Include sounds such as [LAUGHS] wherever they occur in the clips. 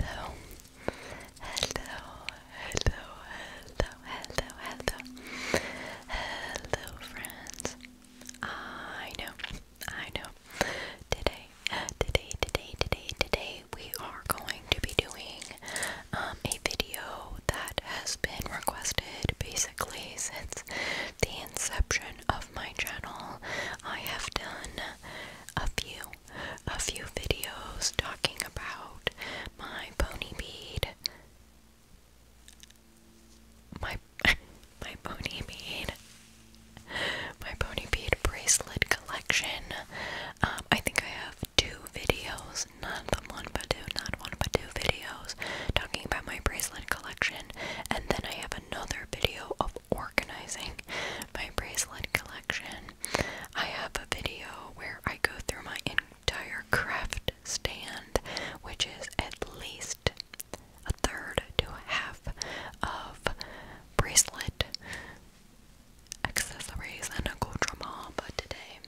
Hello, hello, hello, hello, hello, hello, hello, friends. I know, I know. Today, today, today, today, today, we are going to be doing um, a video that has been requested basically since the inception of my channel, I have done a few, a few videos talking about my pony bead, my [LAUGHS] my pony bead, my pony bead bracelet collection. Um, I think I have two videos, not one but two, not one but two videos talking about my bracelet collection, and then I have another video of organizing my bracelet collection. I have a video where I go through my entire craft stand, which is at least a third to a half of bracelet accessories and a accoutrement, but today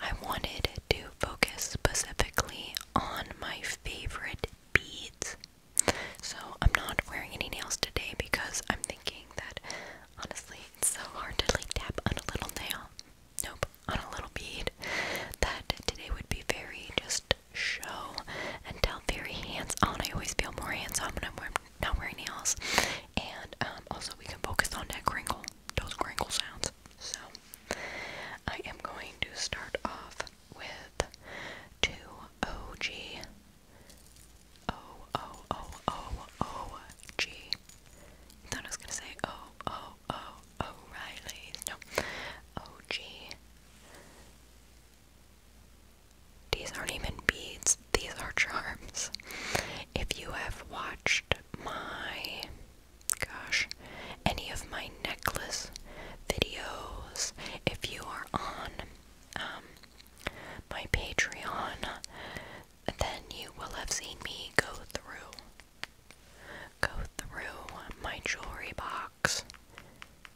I wanted to focus specifically on my favorite beads so I'm not wearing any nails today because I'm thinking that honestly it's so hard to like tap on a little nail. Nope, on a little bead. That today would be very just show and tell, very hands on. I always feel more hands on when I'm wearing, not wearing nails. And um, also, we can focus on that crinkle, those crinkle sounds. So, I am going to start off with two OG O O O O O G. Thought I was gonna say O O O O'Reilly. No, O G. These aren't even beads. These are charms. If you have watched my, gosh, any of my necklace videos, if you are on um, my Patreon, then you will have seen me go through, go through my jewelry box,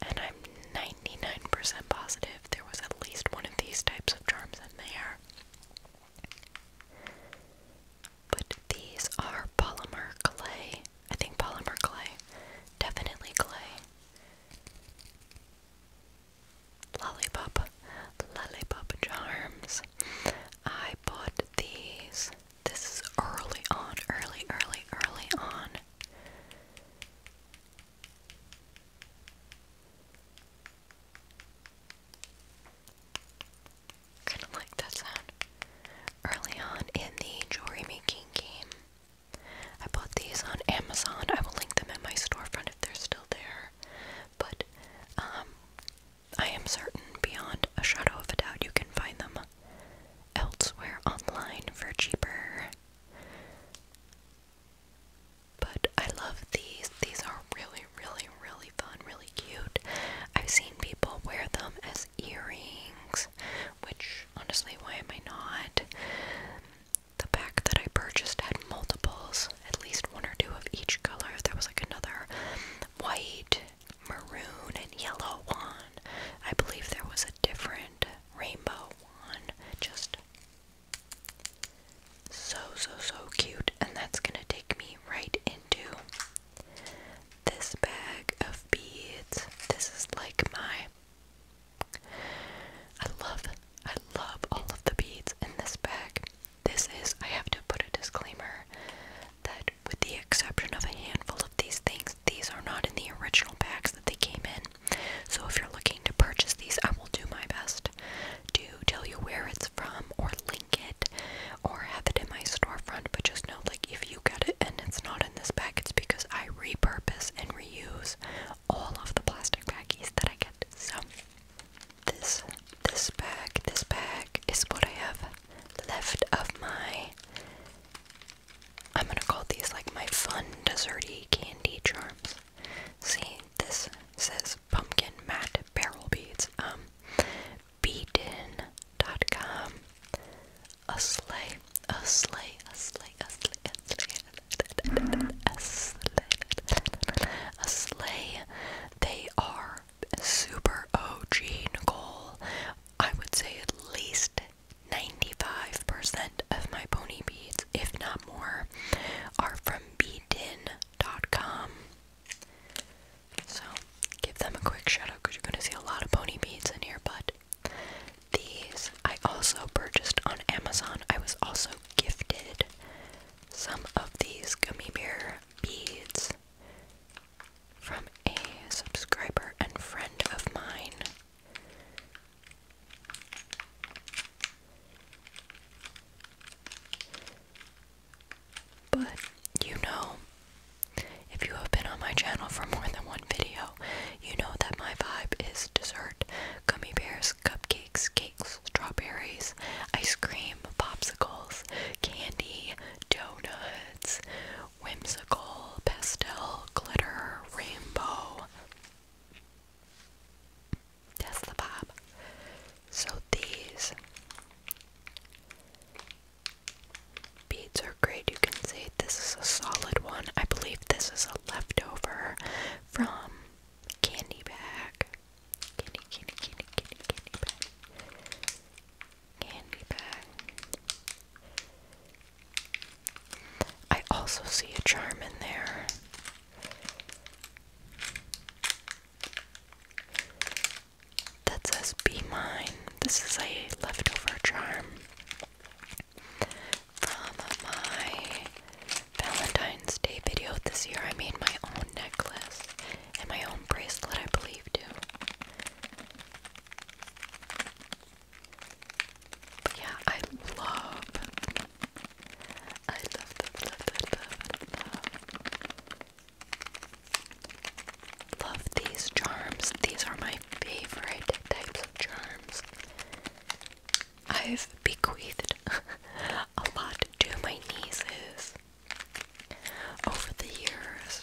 and I'm 99% positive there was at least one of these types of charms in there. But these are polymer clay. I think polymer clay. Definitely clay. Lollipop, lollipop charms. I bought these. This is early on, early, early, early on. Kind of like that sound. Early on in the jewelry making game. I bought these on Amazon. I will link them in my storefront if they're still there. But um, I am certain beyond a shadow of a doubt you can find them elsewhere online for cheaper. But I love these. These are really, really, really fun, really cute. I've seen people wear them as earrings, which honestly, why am I not? the pack that I purchased had multiples, at least one or two of each color. There was like another white, maroon, and yellow one. I believe there was a different rainbow one. Just so, so, so cute. And that's gonna take me right into this bag of beads. This is like my I love, I love all of the beads in this bag. This is, I have to put a disclaimer that with the exception of a handful of these things, these are not in the original bags that they came in. So if you're looking to purchase these, I will do my best to tell you where it's from or link it or have it in my storefront. But just know, like, if you get it and it's not in this bag, it's because I repurpose and re reuse all of the plastic baggies that I get. So this this bag, this bag is what I have left of my I'm gonna call these like my fun desserty candy charms. See, this says pumpkin matte barrel beads. Um beaten.com a sleigh, a sleigh, a sleigh, a sleigh, a sleigh, a sleigh, a sleigh. They are super OG, Nicole. I would say at least 95% of my pony beads, if not more, are from beadin.com. So give them a quick shout out because you're going to see a lot of pony beads in here, but these I also purchased on Amazon. I was also gifted some of these gummy bear beads from a subscriber and friend of mine. But you know, if you have been on my channel for more than one video, you know that my vibe is dessert gummy bears, cupcakes, cakes, strawberries, ice cream, popsicles, candy, donuts, whimsical, pastel, glitter, rainbow. That's the bob. So these beads are great. You can see this is a solid one. I believe this is a leftover from candy bag. Candy, candy, candy, candy, candy bag. Candy bag. I also see a charm in there. That says be mine. This is a leftover charm. From my Valentine's Day video this year, I made my own necklace and my own bracelet, I believe, too. But yeah, I love, I love, love, love, love, love, these charms. These are my favorite types of charms. I've bequeathed [LAUGHS] a lot to my nieces over the years.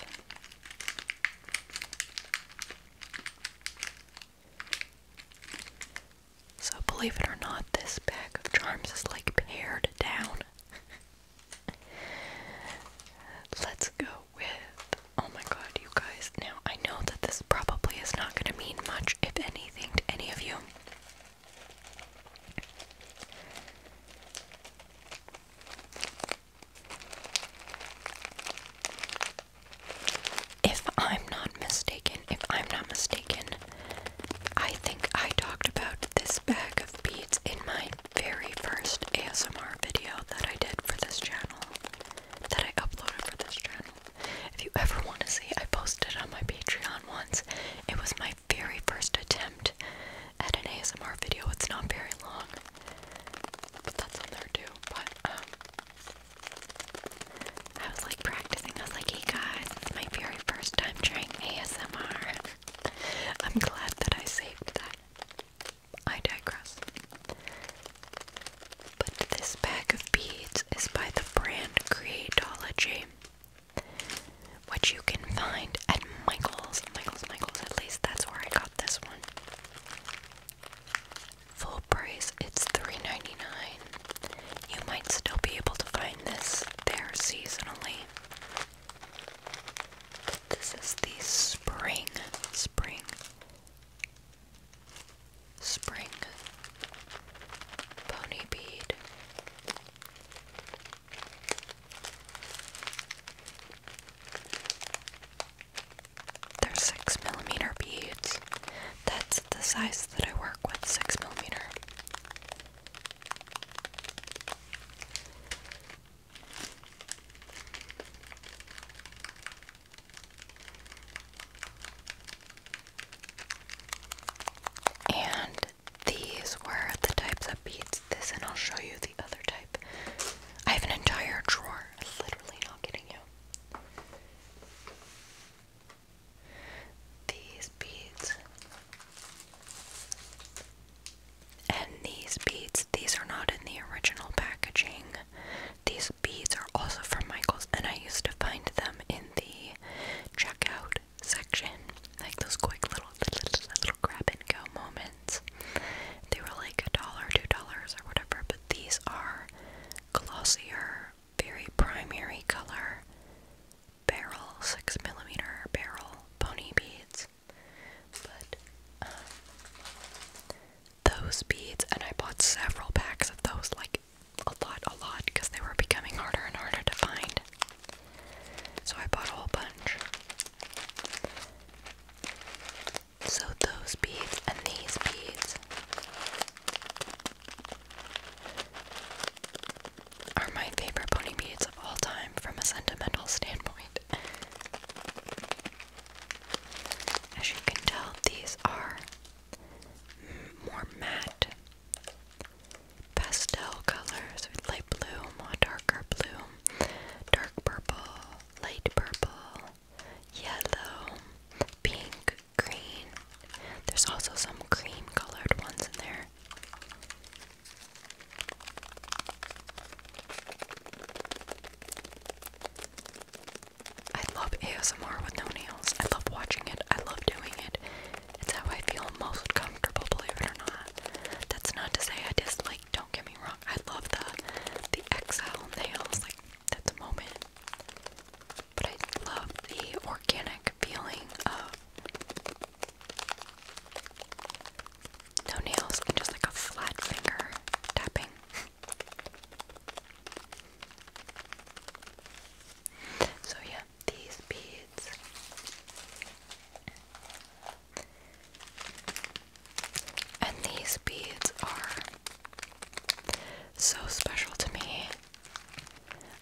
So, believe it or not, this bag of charms is like pared down. [LAUGHS] Let's go with oh my god, you guys. Now, I know that this probably is not going to mean much, if anything, to any of you. If I'm not mistaken, if I'm not mistaken, I think I talked about this bag of beads in my very first ASMR video that I did for this channel that I uploaded for this channel. If you ever want to see, I posted on my Patreon once. It was my very first attempt at an ASMR video. It's not very long, but that's on there too. But um, I was like practicing. I was like, "Hey guys, it's my very first time trying ASMR." [LAUGHS] I'm glad that I saved that. I digress. But this bag of beads is by the brand Creatology, which you can find at Michael's. Michael's, Michael's, at least that's where I got this one. Full price, it's $3.99. You might still be able to find this there seasonally. this is the spring, spring Spring Pony Bead They're six millimeter beads. That's the size that I work with, six millimeter. And these were the types of beads. This, and I'll show you the other type. I have an entire drawer. Literally, not kidding you. These beads. And these beads, these are not in the original packaging. These beads are also from Michaels, and I used to find them in the checkout section, like those quick little little, little grab and go moments. They were like a dollar, two dollars, or whatever. But these are glossier, very primary color barrel, six millimeter barrel pony beads. But um, those beads, and I bought several packs of those, like a lot, a lot, because they were becoming harder and harder to find. So I bought a whole bunch. So those beads and these beads are my favorite pony beads of all time from a sentimental standpoint. As you can tell, these are more matte pastel colors light blue, more darker blue, dark purple, light purple, yellow, pink, green. There's also some cream colored ones in there. I love ASMR with no nails. I love watching it. I love doing it. It's how I feel most comfortable, believe it or not. That's not to say I dislike, don't get me wrong. I love the the XL nails, like that's a moment. But I love the organic feeling of no nails and just like a flat finger tapping. [LAUGHS] So yeah, these beads and these beads are so special to me.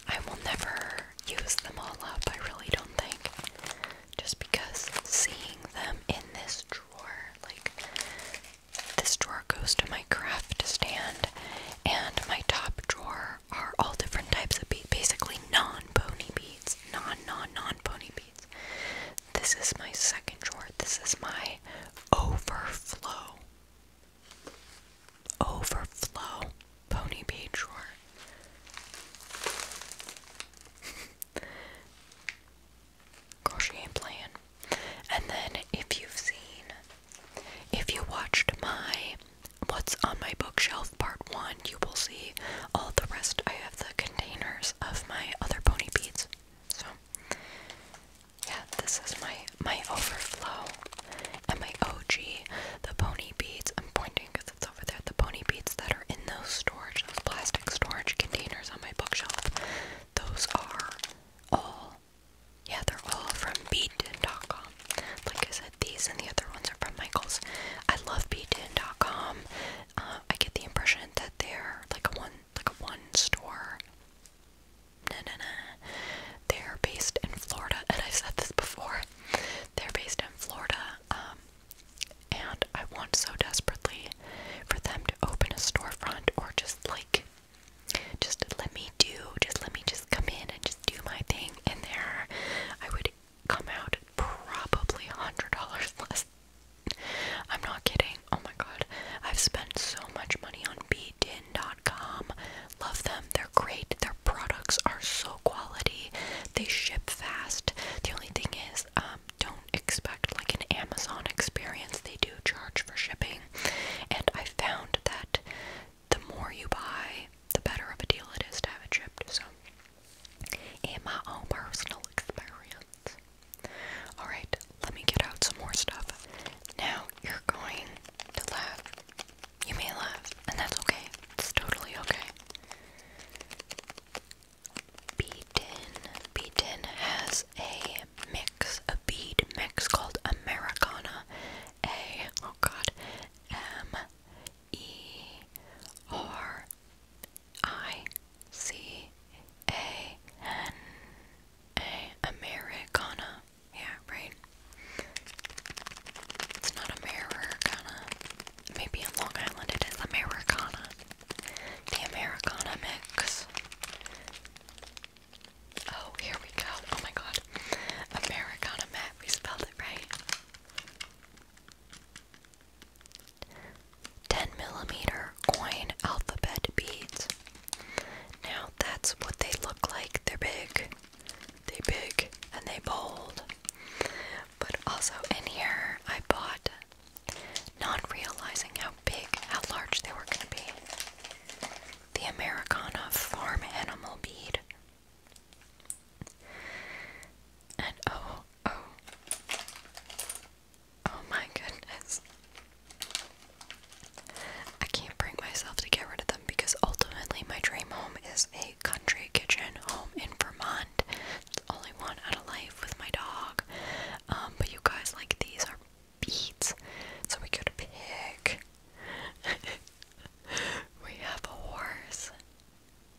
I will never use them all up, I really don't think. Just because seeing them in this drawer, like this drawer goes to my craft stand, and my top drawer are all different types of beads, basically non-pony beads, non-non-non-pony beads. This is my second drawer. This is my overflow, overflow pony bead drawer. [LAUGHS] Girl, ain't playing. And then if you've seen, if you watched my What's on My Bookshelf Part 1, you will see all the rest. I have the containers of my other pony beads. So, yeah, this is my, my overflow and my OG, the pony beads. I'm pointing because it's over there. The pony beads that are in those storage, those plastic storage containers on my bookshelf, those are all, yeah, they're all from beadin.com. Like I said, these and the other ones are from Michaels. I love beadin.com. Uh, I get the impression that they're like a one, like a one store. Nah, nah, nah. They're based in Florida, [LAUGHS] and i said this before. They're based in Florida, um, and I want so desperately for them to open a storefront or just like just let me do, just let me just come in and just do my thing. in there, I would come out probably $100 less. I'm not kidding. Oh my god. I've spent so much money on bdin.com. Love them. They're great. Their products are so quality. They ship fast. The only thing is, um, don't expect like an Amazon experience. They do charge for shipping and I found that the more you buy, the better of a deal it is to have it shipped. So, in my own personal experience. Alright, let me get out some more stuff. Now, you're going to laugh. You may laugh, and that's okay. It's totally okay. Beaten. Beaten has a mix, a bead mix called Americana. A oh god, M E R I C A N A Americana. Yeah, right. It's not Americana. Maybe in Long Island it is Americana. The Americana mix. Oh, here we go. Oh my god. Americana mat. we spelled it right. 10 millimeter coin alphabet beads. Now that's what they look like. They're big. They big and they bold. But also in here I bought not realizing how big, how large they were going to be. The Americana Farm Animal Bead. And oh, oh, oh my goodness. I can't bring myself to get rid of them because ultimately my dream home is a country kitchen home in Vermont. It's the only out of life with my dog. Um, but you guys, like, these are Beats. So we could pick. [LAUGHS] we have a horse.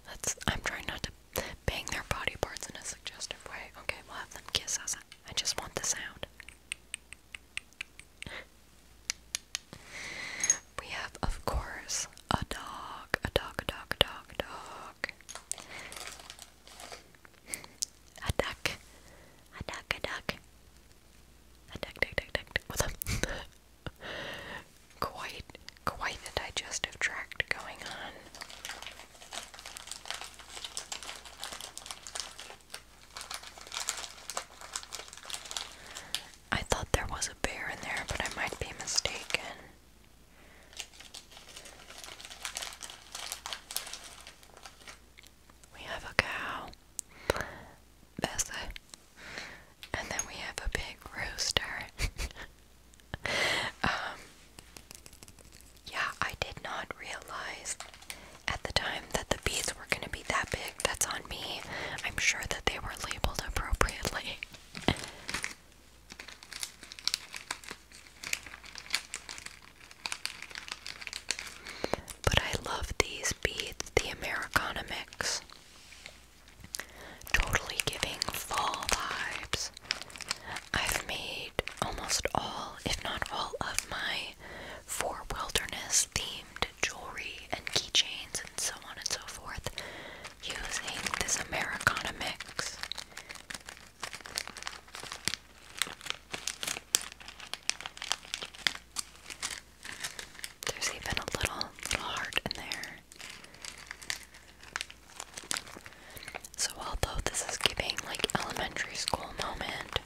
That's. I'm trying not to bang their body parts in a suggestive way. Okay, we'll have them kiss us. I just want the sound. We have, of course, a dog, a dog, dog, dog, dog a duck. A duck, a duck. A duck, duck, duck, duck, duck. [LAUGHS] quite, quite the digestive tract going on. I thought there was a bear in there, but I might be mistaken we have a cow, Bessa, and then we have a big rooster. [LAUGHS] um, yeah, I did not realize at the time that the bees were going to be that big. That's on me. I'm sure that they were labeled appropriately. [LAUGHS] But I love these beads, the Americana mix. Totally giving fall vibes. I've made almost all, if not all, of my four wilderness themed jewelry and keychains and so on and so forth using this Americana mix. There's even a little little heart in there. So although this is giving like elementary school moment,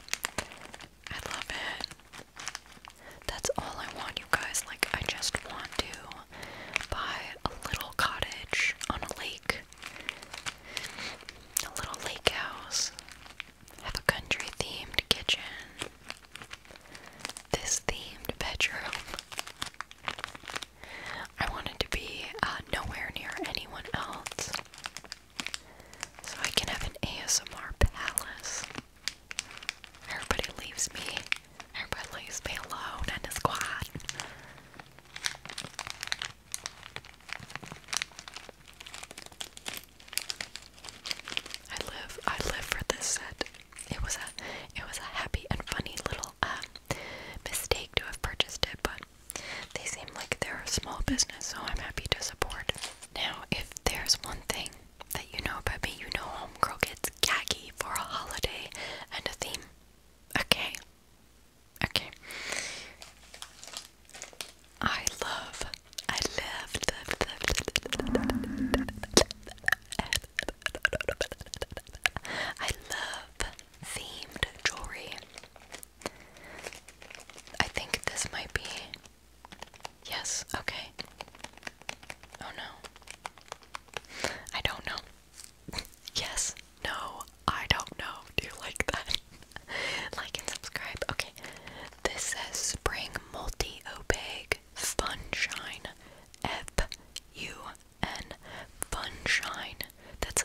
I love it. That's all I want you guys. Like I just want to buy a little cottage on a lake the little lake house. Have a country themed kitchen. This themed bedroom. I wanted to be uh, nowhere near anyone else. So I can have an ASMR palace. Everybody leaves me. Everybody leaves me alone and is quiet. I live I live for this set. It was a it was a happy and funny little uh, mistake to have purchased it, but they seem like they're a small business, so I'm happy to support. Now, if there's one thing that you know about me, you know Homegirl gets gaggy for a holiday and a theme. Okay, Okay. I love, I love, I love themed jewelry. I think this might be. Yes, okay. Oh no. I don't know. [LAUGHS] yes. No, I don't know. Do you like that? [LAUGHS] like and subscribe. Okay. This says Spring Multi Opaque Funshine. F U N Funshine. That's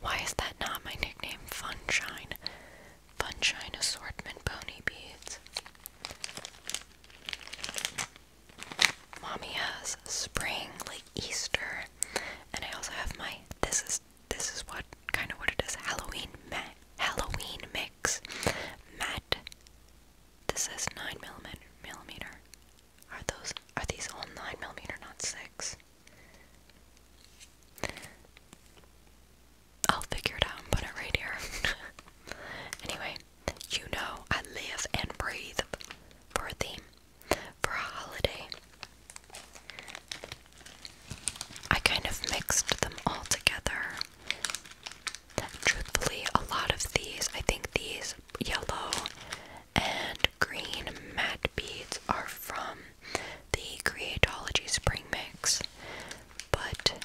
why is that not my nickname? Funshine. Funshine Assortment Pony Beads. Mommy has spring, like Easter. And I also have my this is this is what kind of what it is Halloween Halloween mix matte this is 9 millimeter millimeter are those are these all 9 millimeter not 6 I'll figure it out put it right here [LAUGHS] anyway you know I live and breathe for a theme for a holiday I kind of mixed them all together. Truthfully, a lot of these, I think these yellow and green matte beads are from the Creatology Spring Mix. But,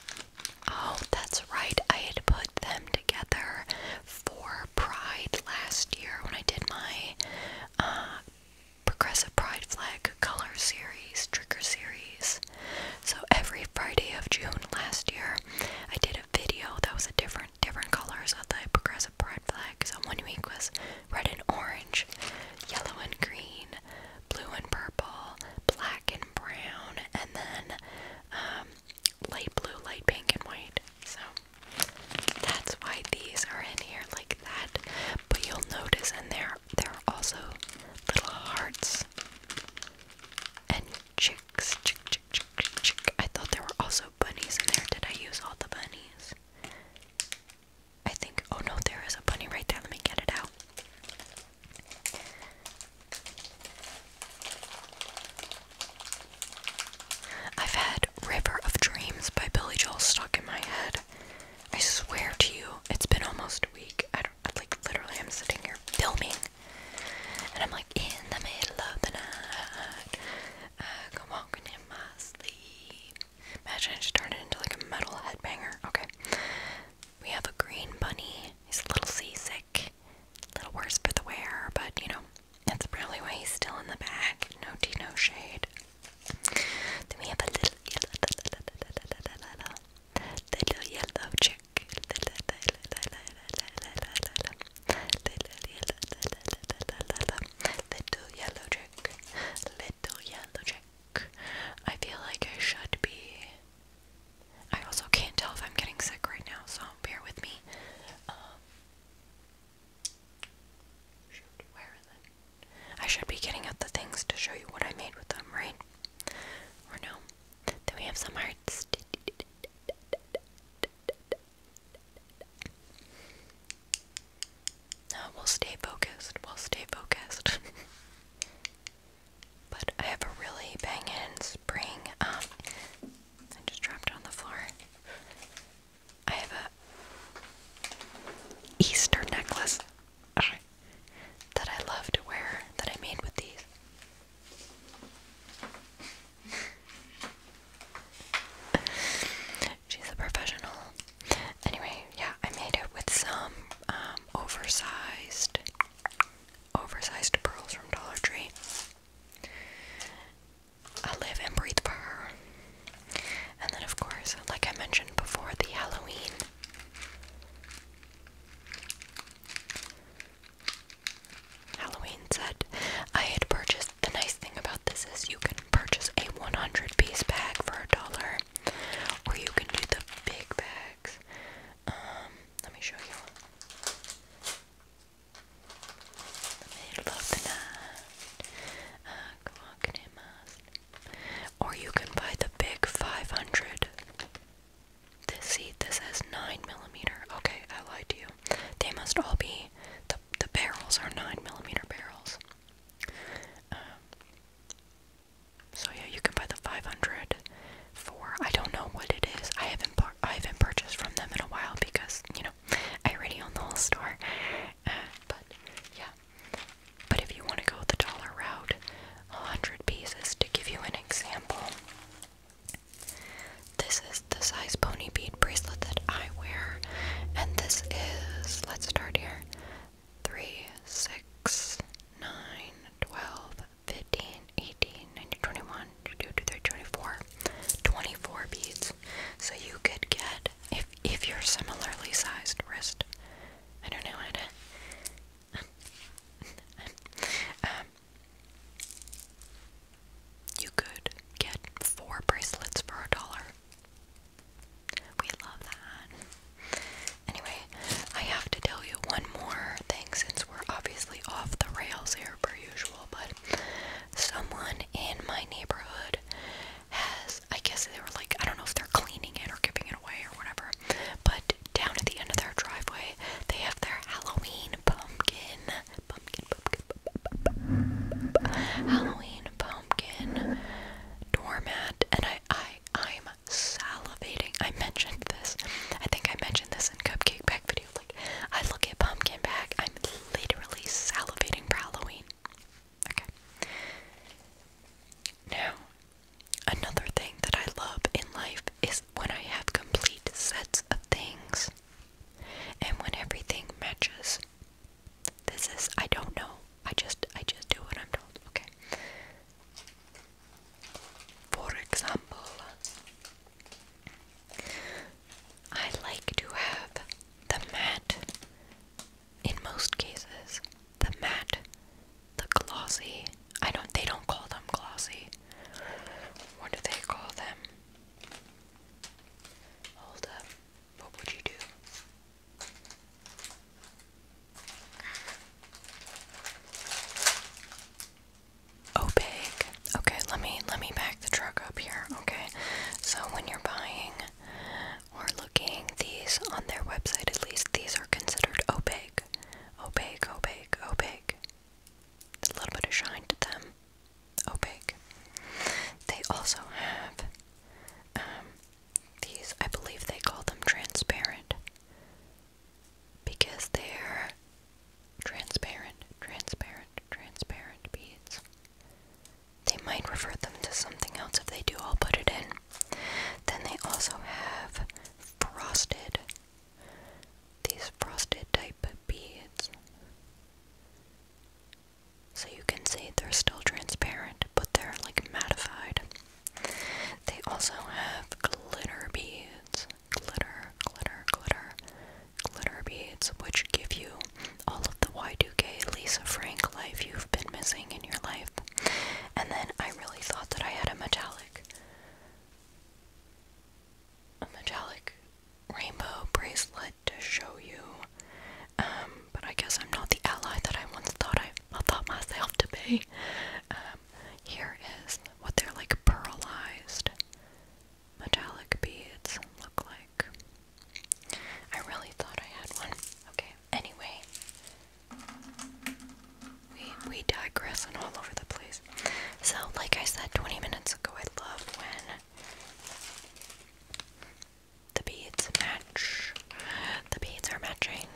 oh, that's right, I had put them together for Pride last year when I did my uh, Progressive Pride Flag Color Series, Trigger Series. So every Friday of June last year, I did a video that was a different different colors of the Progressive Pride Flag. So one week was red and orange, yellow and green, blue and purple, black and brown, and then um, light blue, light pink, and white. So that's why these are in here like that. But you'll notice in there there are also little hearts and chicks. Chick, chick, chick, chick, I thought there were also bunnies in there. Did I use all the bunnies? I think. Oh no, there is a bunny right there. Let me get it out. I've had River of Dreams by Billy Joel stuck in my head I swear to you, it's been almost a week. I do like literally I'm sitting here filming and I'm like in the middle of the night. I am walking in my sleep. Imagine I just turned it into like a metal headbanger. Okay. We have a green bunny. He's a little seasick. A little worse for the wear, but you know, that's probably why he's still in the bag. No tea, no shade. Then we have a little yellow, little yellow chick. Little yellow, little yellow chick. Little yellow chick. I feel like I should be. I also can't tell if I'm getting sick right now, so bear with me. Um, I should be getting out the things to show you what I made with them, right? Or no? Then we have some hearts. No, we'll stay focused. We'll stay focused. [LAUGHS] but I have a really bangin' spring. Um, I just dropped on the floor. I have a Easter necklace that I love to wear that I made with these. She's a professional. Anyway, yeah, I made it with some um, oversized, oversized pearls from Dollar Tree. I live and breathe for and then, of course, like I mentioned before, the Halloween. Halloween set. I had purchased. The nice thing about this is you can purchase a 100 piece bag for a dollar, or you can do the big bags. Um, let me show you. Let me love the or you can buy the big 500. This seat, this has 9 millimeter. Okay, I lied to you. They must all be, the, the barrels are 9 millimeter barrels. Um, so yeah, you can buy the 500 for, I don't know what it is. I haven't, I haven't purchased from them in a while because, you know, I already own the whole store. Uh, but yeah, but if you want to go the dollar route, 100 pieces to give you an example. This is the size pony bead bracelet that I wear, and this is, let's start here, 3, 6, 9, 12, 15, 18, 19, 21, 22, 24, 24 beads. So you could get if if you're similarly sized wrist. I don't know [LAUGHS] um, you could get four bracelets for a dollar. We love that. Anyway, I have to tell you one more thing since we're obviously off the rails here per usual, but someone in my neighborhood has I guess they were like, I don't know if they're cleaning it or giving it away or whatever. But down at the end of their driveway, they have their Halloween pumpkin. Pumpkin, pumpkin, pumpkin, pumpkin Halloween pumpkin doormat. And I, I, I'm salivating. I mentioned this. I think I mentioned this in Cupcake Pack video. Like, I look at pumpkin bag. I'm literally salivating for Halloween. Okay. Now, another thing that I love in life is when I have complete sets of things and when everything matches. This is I don't know. I just I just do what I'm told. Okay. For example, I like to have the mat in most cases, the matte, the glossy. I don't they don't call them glossy. What do they call them? Hold up. What would you do? Opaque. Oh, okay, let me let me back the truck up here. Okay. So when you're buying or looking these on their website at least these are considered opaque opaque opaque opaque a little bit of shine to them opaque they also have um, these I believe they call them transparent because they're transparent transparent transparent beads they might refer them to something else. If they do, I'll put it in. Then they also have frosted. These frosted type beads. So you can see they're still transparent, but they're like mattified. They also have glitter beads. Glitter, glitter, glitter, glitter beads, which give you all of the Y2K Lisa Frank life you've been missing in your life. And then I really thought that I had a metallic a metallic rainbow bracelet to show you. Um, but I guess I'm not the ally that I once thought I, thought myself to be. Um, here is what they're like pearlized metallic beads look like. I really thought I had one. Okay, anyway. We, we digress and all over the place. So, like I said 20 minutes ago, I love when the beads match. The beads are matching.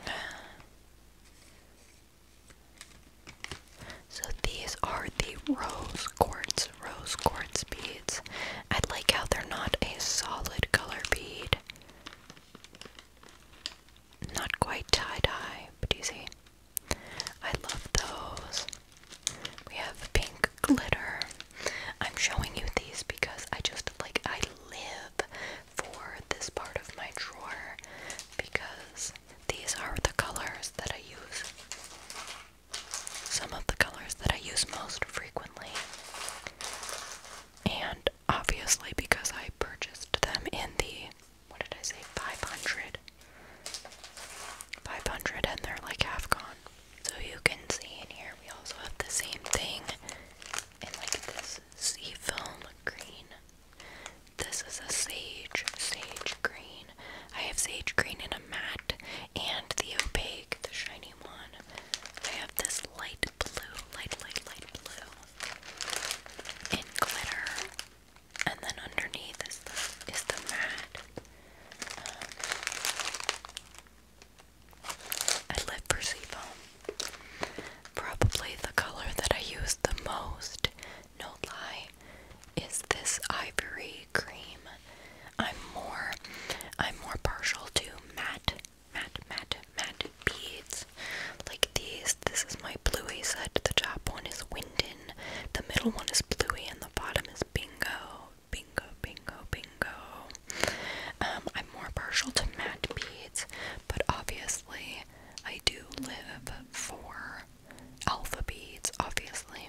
So, these are the rose quartz. Rose quartz beads. I like how they're not a solid color bead. Not quite tie-dye, but you see? I love those. We have pink glitter. I'm showing you these because I just like I live for this part of my drawer because these are the colors that I use. Some of the colors that I use most frequently. And obviously, because I purchased them in the what did I say 500 500 and they're like half gone. So you can see in here we also have the same thing in like this sea green. This is a sage sage green. I have sage green in a matte and the opaque, the shiny one. I have this light blue, light, light, light blue in glitter, and then underneath is the is the matte. Um, I live for Probably the color that I use the most, no lie, is this ivory cream. I'm more I'm more partial to matte matte, matte, matte beads like these. This is my bluey set. The top one is windin, the middle one is bluey, and the bottom is bingo. Bingo, bingo, bingo. Um, I'm more partial to matte beads, but obviously I do live for alpha beads, obviously.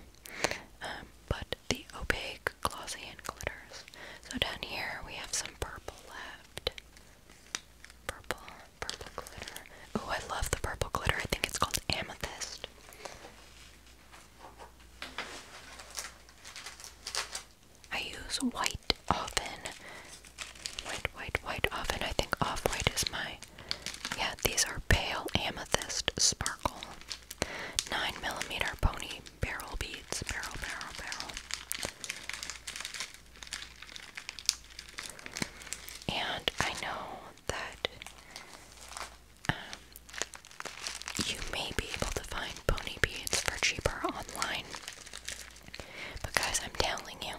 Um, but the opaque glossy and glitters. So down here we have some purple left. Purple, purple glitter. Oh, I love the purple glitter. I think it's called amethyst. I use white often. White, white, white often. I think off-white is my... Yeah, these are pale amethyst sparkle. 9 millimeter pony barrel beads, barrel, barrel, barrel. And I know that um, you may be able to find pony beads for cheaper online. But, guys, I'm telling you,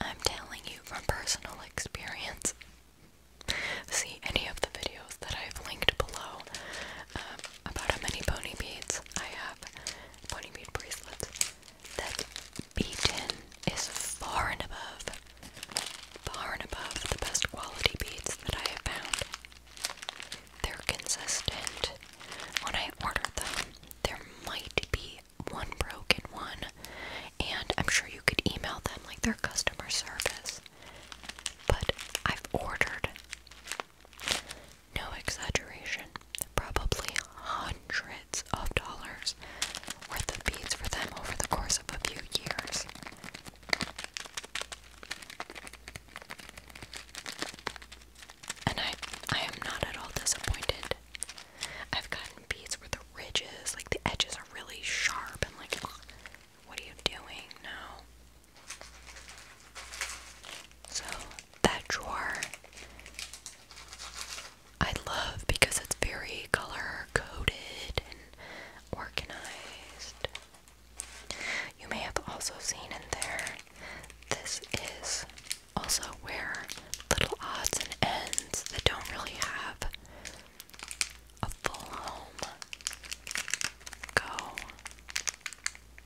I'm telling you from personal experience. See any of the videos that I've linked below. Um, about how many pony beads I have, pony bead bracelets, that Beaten is far and above, far and above the best quality beads that I have found. They're consistent. When I order them, there might be one broken one, and I'm sure you could email them like their customer service. But I've ordered no exaggeration, probably hundreds of dollars worth of beads for them over the course of a few years. And I I am not at all disappointed. I've gotten beads where the ridges, like the edges are really sharp and like what are you doing? No. So that drawer I love because it's very color coded and organized. You may have also seen in there, this is also where little odds and ends that don't really have a full home go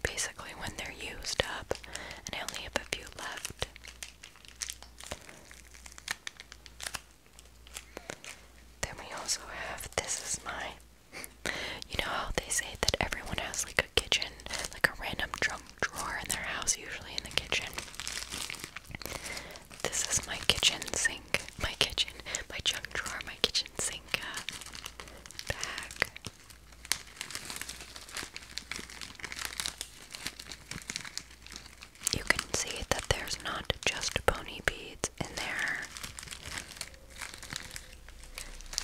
basically when they're used up, and I only have a few left. Then we also have this is my [LAUGHS] you know how they say that everyone has like a kitchen, like a random junk drawer in their house, usually in the kitchen. This is my kitchen sink, my kitchen, my junk drawer, my kitchen kitchen sink You can see that there's not just pony beads in there.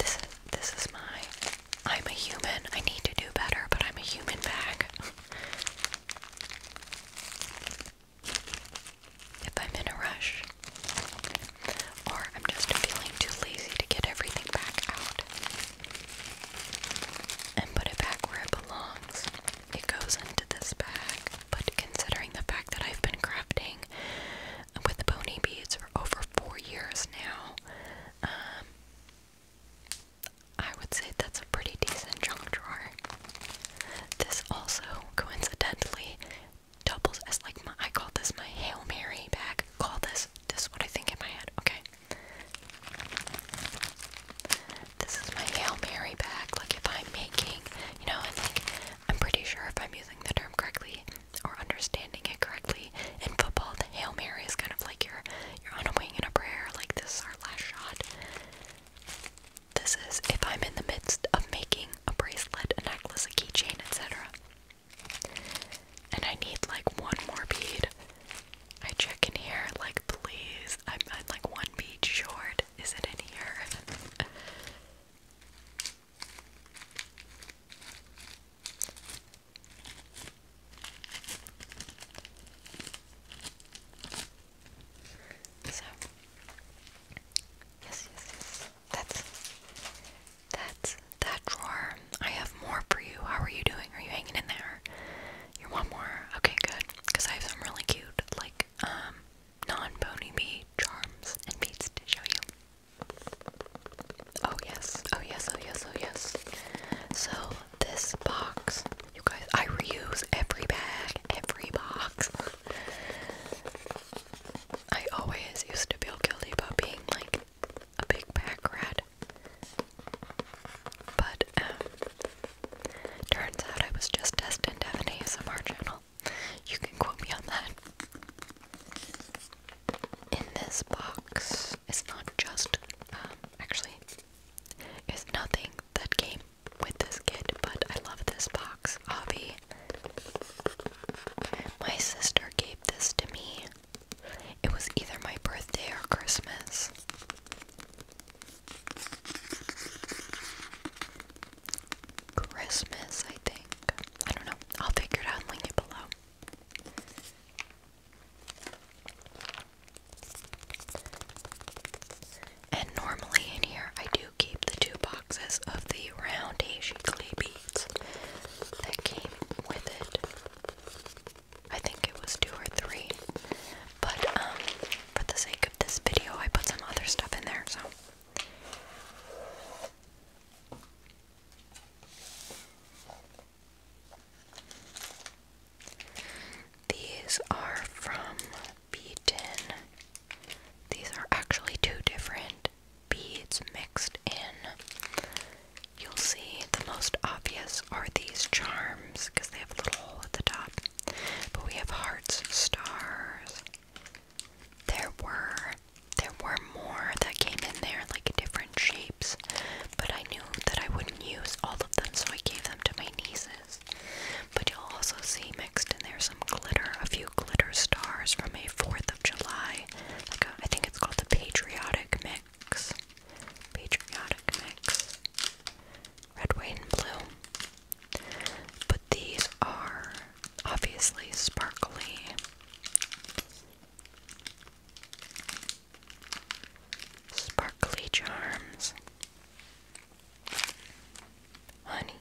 This is this is my I'm a human. I need to do better, but I'm a human bag. [LAUGHS] if I'm in a rush or I'm just feeling too lazy to get everything back out and put it back where it belongs. It goes into this bag, but considering the fact that I've been crafting with pony beads for over four years now, um, I would say that's a pretty decent junk drawer. This also, coincidentally, doubles as like my I call this my Hail Mary bag. Call this this is what I think in my head. Okay. This is my Hail Mary bag. Like if I'm making you know, and like I'm pretty sure if I'm using the term correctly or understanding it correctly, in football the Hail Mary is kind of like you're you're on a wing and a prayer, like this is our last shot. This is if I'm in the midst of making a bracelet, a necklace, a keychain, etc. And I need like one more bead. I check in here, like, please. I'm, i like one bead short. Is it in here? [LAUGHS] yes, yes, yes. That's that's that drawer. I have more for you. How are you doing? Are you hanging in there? You want more? Okay, good. Because I have some really cute, like, um, non-pony bee charms and beads to show you. Oh yes, oh yes, oh yes, oh yes. So this box, you guys, I reuse every bag, every box. I always used to feel guilty about being like a big pack rat. But um turns out I was just destined to have an ASMR channel. You can quote me on that. In this box it's not just um actually it's nothing that came with this kit, but I love this box. Avi my sister gave this to me. It was either my birthday or Christmas. Christmas, I think. I don't know. I'll figure it out and link it below. And normally in here, I keep the two boxes of the round Heishi clay beads that came with it. I think it was two or three. But um for the sake of this video I put some other stuff in there, so these are from Beaten these are actually two different beads mixed in. You'll see the most obvious are these charms because they have a little hole at the top. But we have hearts, stars. There were there were more that came in there like different shapes, but I knew that I wouldn't use all of them, so I gave them to my nieces. But you'll also see mixed in there some glitter, a few glitter stars from a fourth July. Like uh, think it's called the Patriotic Mix. Patriotic Mix. Red, white, and blue. But these are obviously sparkly. Sparkly charms honey.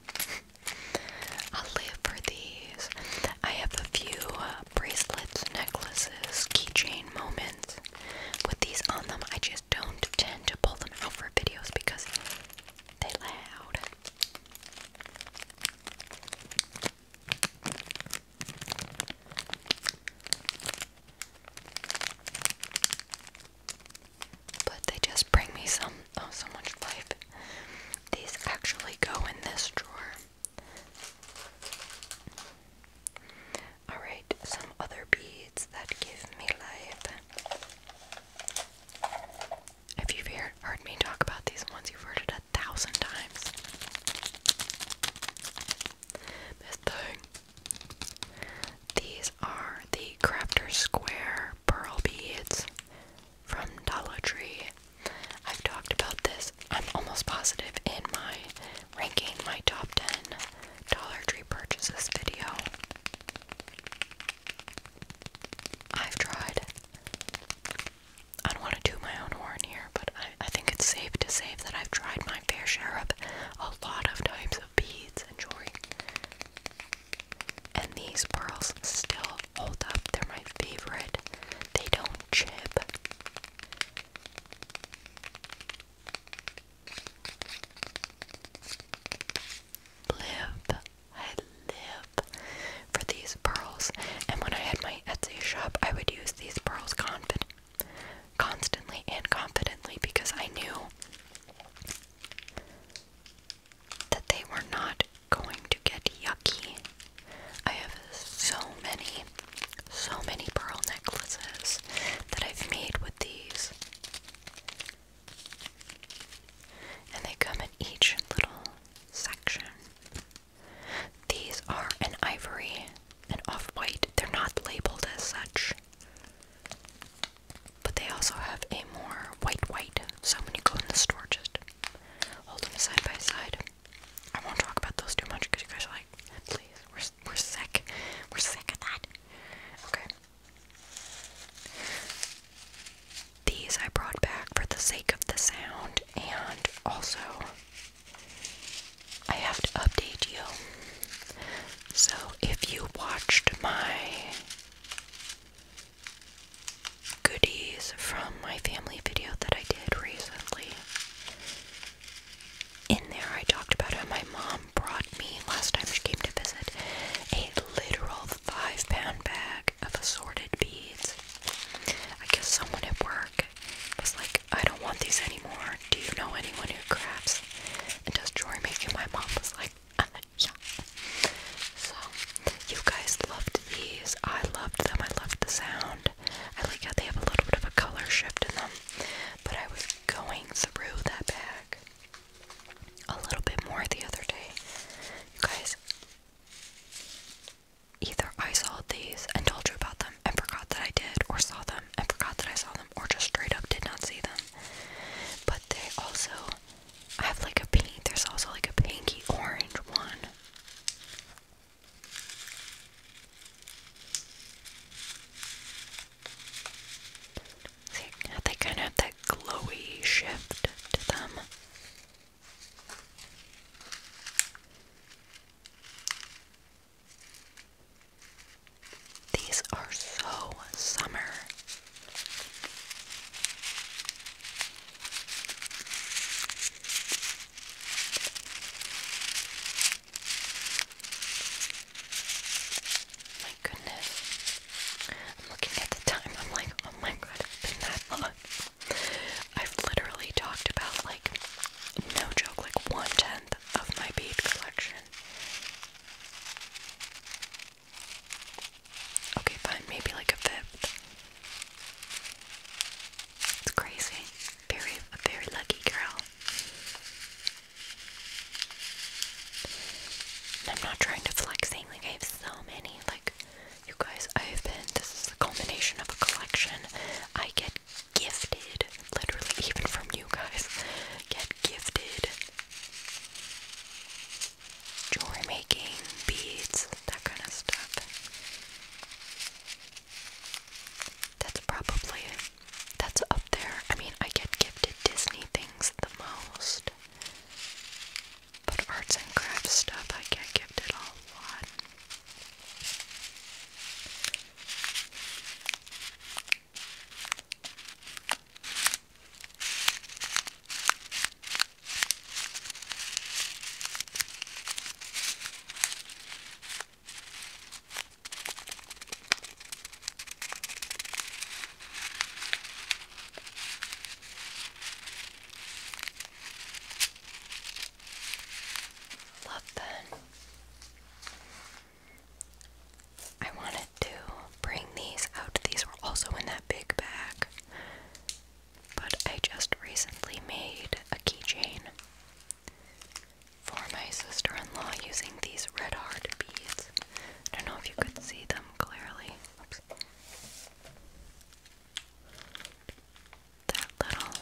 i live for these. I have a few uh, bracelets, necklaces, keychain moments with these on them. I just don't tend to pull them out for videos because they loud. But they just bring me some Oh, so much life. These actually go in this drawer. Alright, some other beads that give me life. If you've hear, heard me talk about these ones, you've heard it a thousand times. This thing. These are the Crafter Square pearl beads from Dollar Tree. I've talked about this, I'm almost positive, in my ranking my top 10 Dollar Tree purchases video. I've tried. I don't want to do my own horn here, but I, I think it's safe to say that I've tried my fair share of a lot of types of beads and jewelry. And these pearls still hold up. They're my favorite. They don't chip. Live. I live for these pearls. And when I had my Etsy shop, I would use these pearls confident constantly and confidently because I knew that they were not going to get yucky. I have so many, so many pearl necklaces that I've made with these. And they come in each little section. These are an ivory and off white. They're not labeled as such. But they also have a more white white. So when you go in the store, just Hold them side by side. I won't talk about those too much because you guys are like, please, we're, we're sick. We're sick of that. Okay. These I brought back for the sake of the sound, and also I have to update you. So if you watched my goodies from my family video that I did recently. In there, I talked about how my mom brought me, last time she came to visit, a literal five pound bag of assorted beads. I guess someone at work was like, I don't want these anymore. Do you know anyone who crafts and does jewelry making? My mom was like, [LAUGHS] yeah. So you guys loved these. I loved them. I loved the sound. I like how they have a little bit of a color shift in them. But I was going through that bag a little bit more the other day. You guys, either I saw these and told you about them and forgot that I did, or saw them and forgot that I saw them, or just straight up did not see them. But they also I have like a pink. There's also like a pinky orange one. See, they kind of have that glowy shift to them. These are so summer. My goodness. I'm looking at the time. I'm like, oh my god, it's been that long. I've literally talked about, like, no joke, like one tenth of my bead collection. Okay, fine, maybe like a fifth. It's crazy. Very, very lucky girl. I'm not trying to flex like I have so many. Like, you guys, I have been. This is the culmination of a collection. I get gifted, literally, even from you guys. Get gifted jewelry making, beads, that kind of stuff. That's probably that's up there. I mean, I get gifted Disney things the most. But arts and crafts stuff I get gifted a lot. Love them. I wanted to bring these out. These were also in that big bag but I just recently made a keychain for my sister-in-law using these red heart beads. I don't know if you could see them clearly. Oops. That little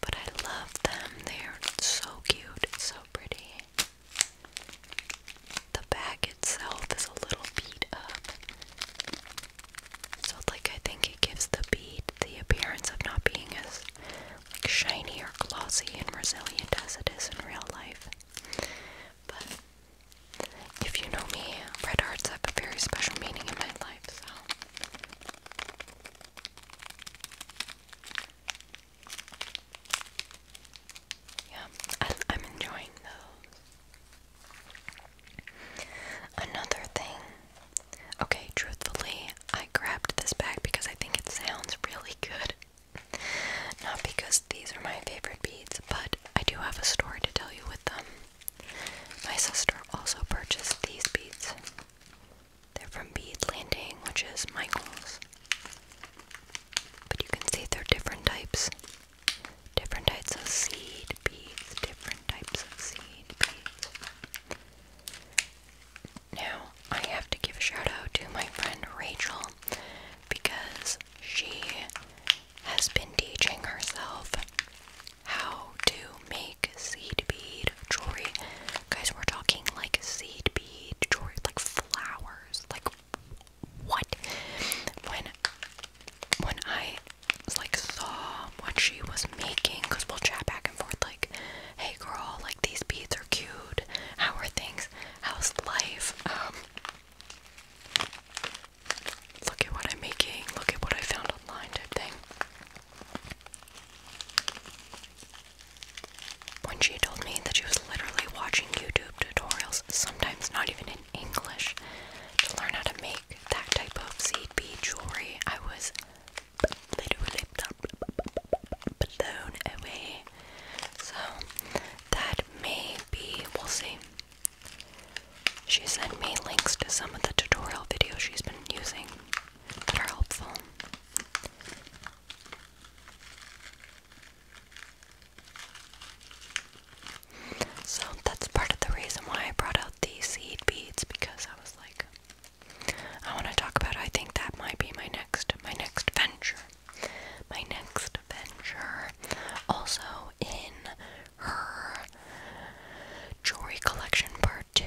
but I love them. They're so cute, so pretty. The bag itself is a little beat up. So like I think it gives the bead the appearance of not being as like shiny or glossy and resilient as it is in real life. But if you know me, red hearts have a very special meaning in my life, so. Yeah, I, am enjoying those. Another thing. Okay, truthfully, I grabbed this bag because I think it sounds really good. Not because these are my favorite beads, but I do have a story to tell you with them. My sister also purchased these beads. They're from Bead Landing, which is Michael's. But you can see they're different types. Different types of seed beads, different types of seed beads. Now, I have to give a shout out to my friend Rachel, because she has been teaching herself how to make seed bead jewelry. Guys, we're talking like seed bead jewelry, like flowers, like what? When when I like saw what she was making, cause we'll chat back and forth like, hey girl, like these beads are cute. How are things? How's life? Um Look at what I'm making, look at what I found online type When she told me that she was literally watching YouTube tutorials, sometimes not even in English, to learn how to make that type of seed bead jewelry, I was literally blown away. So that may will see. She sent me links to some of the tutorial videos she's been using that are helpful. So that's part of the reason why I brought out these seed beads because I was like I want to talk about I think that might be my next my next venture my next venture. Also in her jewelry collection part two,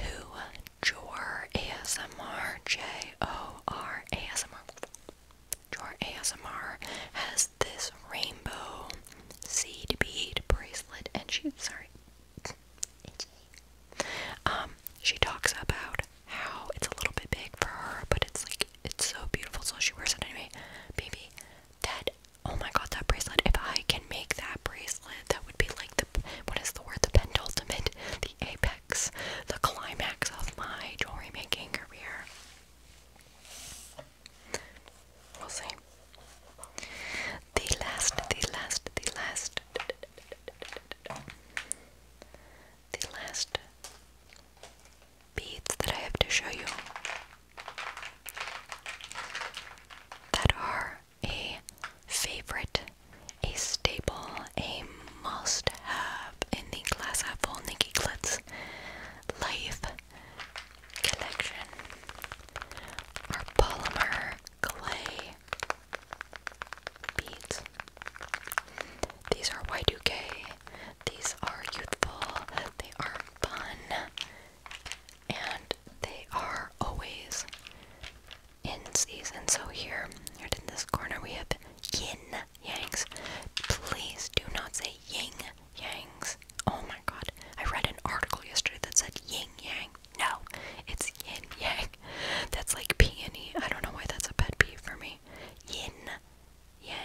Jor ASMR J O R ASMR. Jor ASMR has this rainbow seed bead bracelet, and she sorry. Um, she talks about how it's a little bit big for her, but it's like it's so beautiful, so she wears it anyway. Baby, that oh my god, that bracelet! If I can make that bracelet, that would be like the what is the word? The penultimate, the apex, the climax of my jewelry making career. We'll see. The last, the last, the last, the last beads that I have to show you that are a favorite, a staple, a must have in the Glass apple Full Nikki Glitz Life collection are polymer clay beads. These are Y2K, these are youthful, they are fun and they are always in season. So here, right in this corner, we have yin yangs. Please do not say yin yangs. Oh my god. I read an article yesterday that said yin yang. No, it's yin yang. That's like peony. I don't know why that's a pet peeve for me. Yin yang.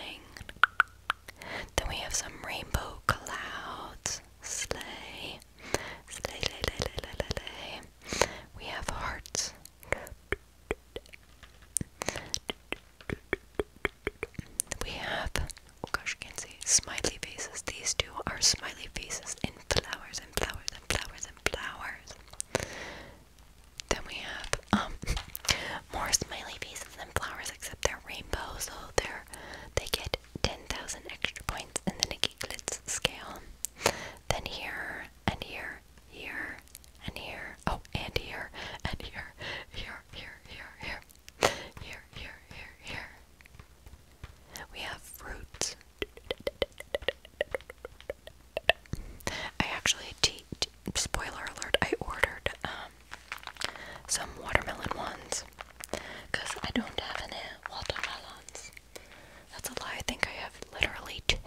Then we have some rainbow clouds. Sleigh. Sleigh, lay, lay, lay, lay, lay, lay. We have hearts. We have, oh gosh, I can see, smiley faces. These two are smiley faces in flowers and flowers and flowers and flowers. Then we have um [LAUGHS] more smiley faces and flowers, except they're rainbow, so they're they get ten thousand extra points in the Nikki Glitz scale. Then here and here, here and here, oh and here and here, here, here, here, here, here, here, here, here. We have fruits. I actually, spoiler alert, I ordered um, some watermelon ones because I don't have any watermelons. That's a lie. I think I have literally two,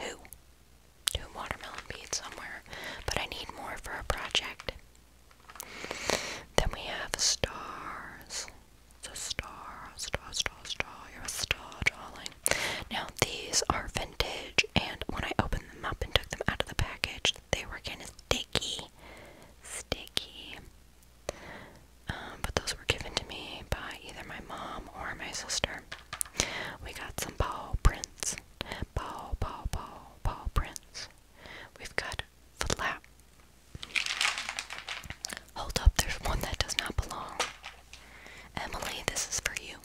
two watermelon beads somewhere, but I need more for a project. Then we have stars. It's a star, star, star. You're a star, darling. Now these are vintage and when I opened them up and took them out of the package, they were kind of sticky. Sticky. Um, but those were given to me by either my mom or my sister. We got some paw prints. Paw, paw, paw, paw prints. We've got flap. Hold up, there's one that does not belong. Emily, this is for you.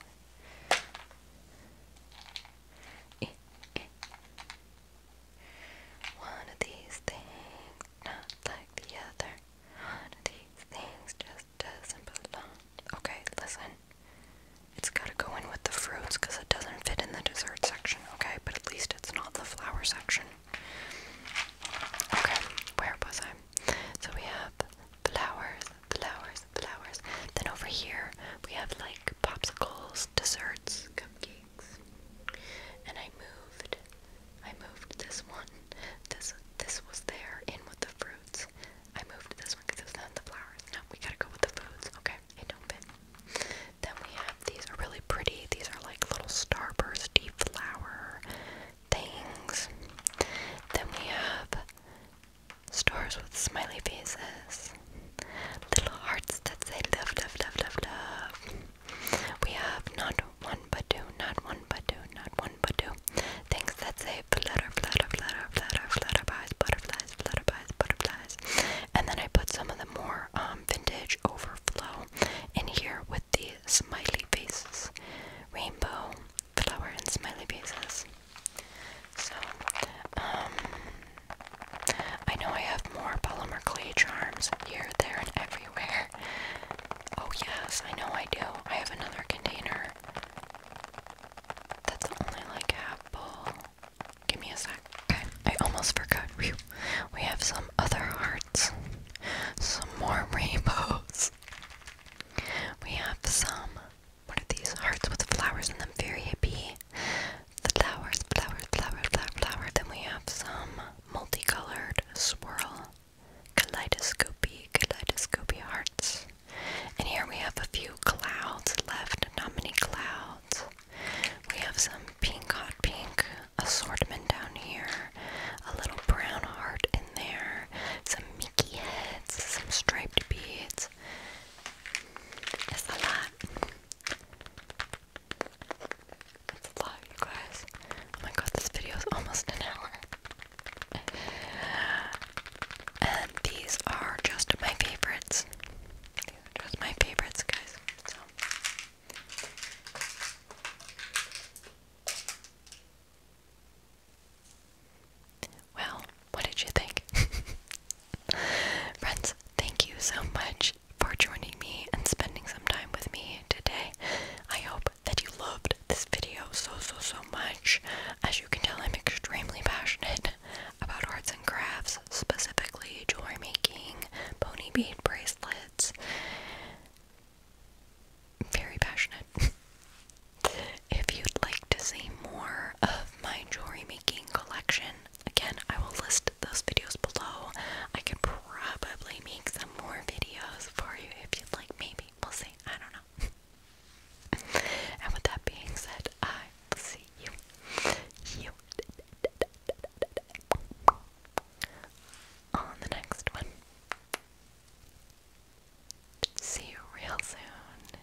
One of these things, not like the other. One of these things just doesn't belong. Okay, listen. It's gotta go in with the fruits because it doesn't fit in the dessert section, okay? But at least it's not the flower section. Okay, where was I? So we have flowers, flowers, flowers. Then over here we have like popsicles, desserts, cupcakes. And I moved, I moved this one. This this was there in with the fruits. I moved this one because it not in the flowers. No, we gotta go with the foods. Okay, Then we have these are really pretty. These are like little starbursty flower things. Then we have Stars with smiley faces. Little hearts that say love, love, love, love, love. We have not one but two, not one but two, not one but two. Things that say flutter, flutter, flutter, flutter, flutterbies, butterflies, flutterbies, butterflies. And then I put some of the more um, vintage overflow in here with the smiley faces. Rainbow, flower, and smiley faces. So, um, I know I have more polymer clay charms here, there, and everywhere. Oh, yes, I know I do. I have another container that's only like half full. Give me a sec. Okay, I almost forgot. We have some other hearts, some more [LAUGHS] rainbows. We have some one of these hearts with flowers in them, very hippie. Flowers, flowers, flower, flower, flower. Then we have some multicolored swirl, kaleidoscopy, kaleidoscopy hearts. And here we have a few clouds left, not many clouds. We have some pink, hot pink assortment down here, a little brown heart in there, some Mickey heads, some striped beads minutes a lot. It's a lot, you guys. Oh my god, this video is almost an hour. And these are just my favorites. just my favorites, guys. Well, what did you think? [LAUGHS] Friends, thank you so much for joining me and spending some time with me today. I hope that you loved this video so, so, so much. As you can tell, I'm extremely passionate about arts and crafts, specifically jewelry making, pony bead bracelets. Very passionate. [LAUGHS] If you'd like to see more of my jewelry making collection, again, I will list those videos below. I could probably make some more videos for you if you'd like, maybe. We'll see. I don't know. [LAUGHS] and with that being said, I will see you. On the next one. See you real soon.